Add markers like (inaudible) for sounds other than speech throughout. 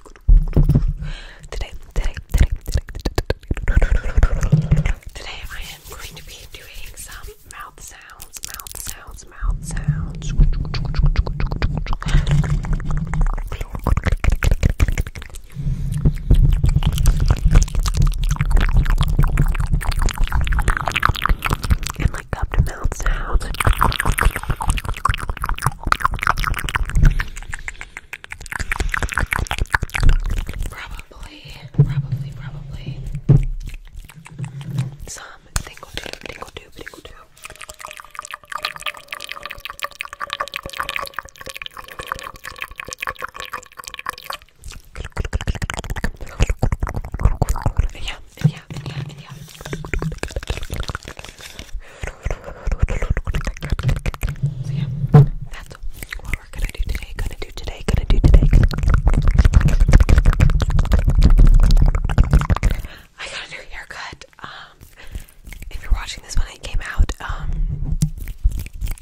Today, today, today, today, today I am going to be doing some mouth sounds, mouth sounds, mouth sounds. And like up mouth sounds. Probably, probably, probably some tingle tube, tingle tube, tingle tube. Yeah, yeah, yeah, yeah, that's what we're gonna do today. Gonna do today. Gonna do today. I got a new haircut. Um, if you're watching this when it came out, um,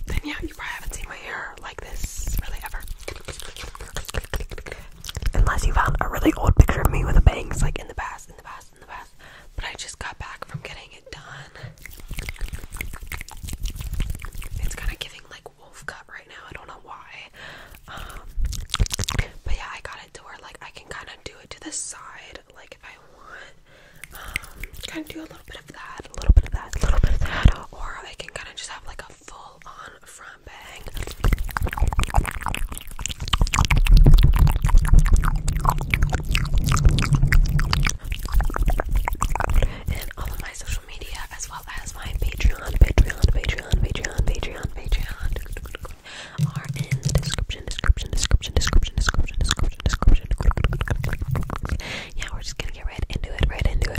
then yeah, you probably haven't seen my hair like this really ever. Unless you found a really old picture of me with the bangs like in the past and the best and the best. But I just got back from getting it done. It's kind of giving like wolf cut right now. I don't know why. Um, but yeah, I got it to where like I can kind of do it to the side, like if I want. Um, kind of do a little bit of that, a little bit of that, a little bit of that, or I can kind of just have like a full on from Bang. And all of my social media as well as my Patreon, Patreon, Patreon, Patreon, Patreon, Patreon are in the description, description, description, description, description, description, Yeah, we're just gonna get right into it, right into it.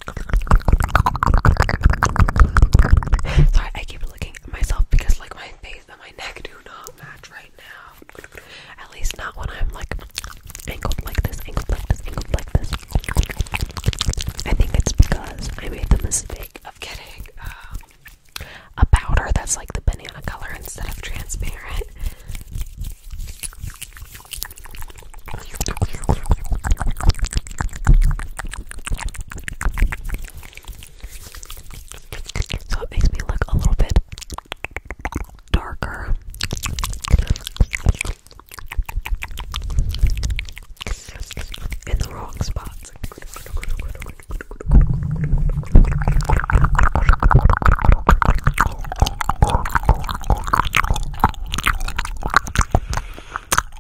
Sorry, I keep looking at myself because like my face and my neck do not match right now. At least not when I'm like angled like this, angled like this, angled like this. I think it's because I made the mistake of getting uh, a powder that's like the banana color instead of transparent. So it makes me look a little bit darker. In the wrong spots.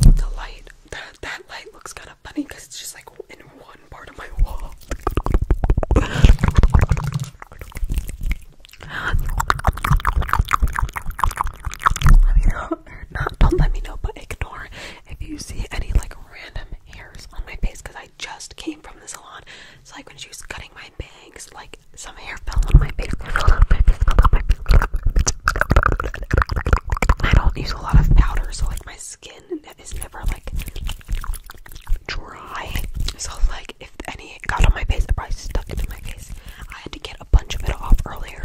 The light, that that light looks kind of funny because it's just like in one part of my wall. (laughs) don't let me know, but ignore if you see any like random hairs on my face because I just came from the salon. It's like when she cutting my my Like some hair fell on my face. I don't use a lot of powder, so like my skin is never like dry. So like if any got on my face, I probably stuck to my face. I had to get a bunch of it off earlier.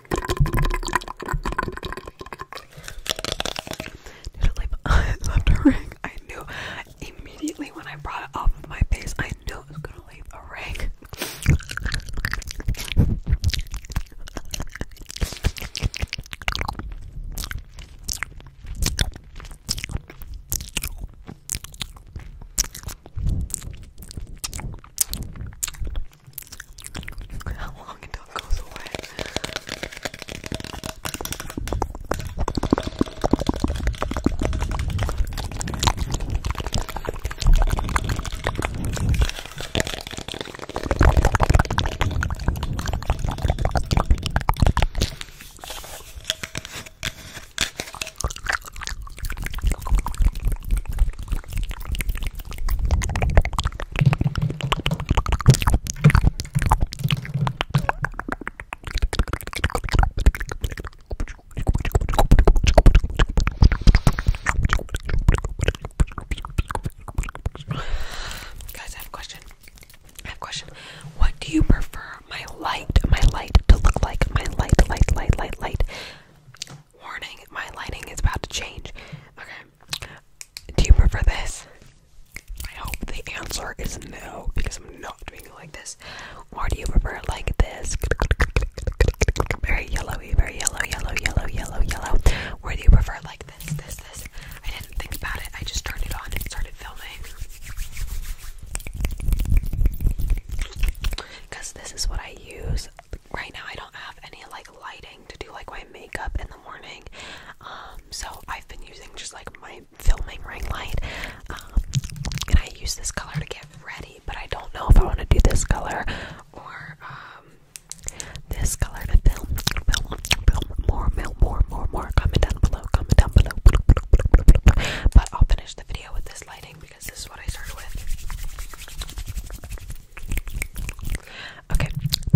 Lip, (laughs) I left a ring. I knew immediately when I brought it off of my face, I knew it was gonna leave a ring. How long until it goes away? Guys, I have a question. I have a question. What do you prefer my light, my light to look like? My light, light, light, light, light. Warning, my lighting is about to change. Okay. Do you prefer this? I hope the answer is no, because I'm not doing like this. Or do you prefer like this? Very yellowy, very yellow, yellow, yellow, yellow, yellow. Or do you prefer like this, this, this? I didn't think about it, I just turned it on and started filming. Because this is what I use right now I don't have any like lighting to do like my makeup in the morning. Um, so I've been using just like my filming ring light. Um, and I use this color to get ready, but I don't know if I want to do this color or um, this color to film. Film, film, more, more, more, more, more. Comment down below, comment down below. But I'll finish the video with this lighting because this is what I started with. Okay,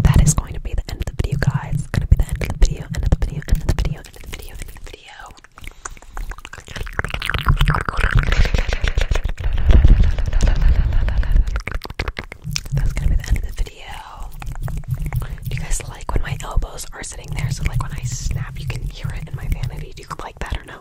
that is going to be the end of the video, guys. It's going to be the end of the video, end of the video, end of the video, end of the video, end of the video. That's gonna be the end of the video. you guys like when my elbows are sitting there? So like when I snap, you can hear it in my vanity. Do you like that or no?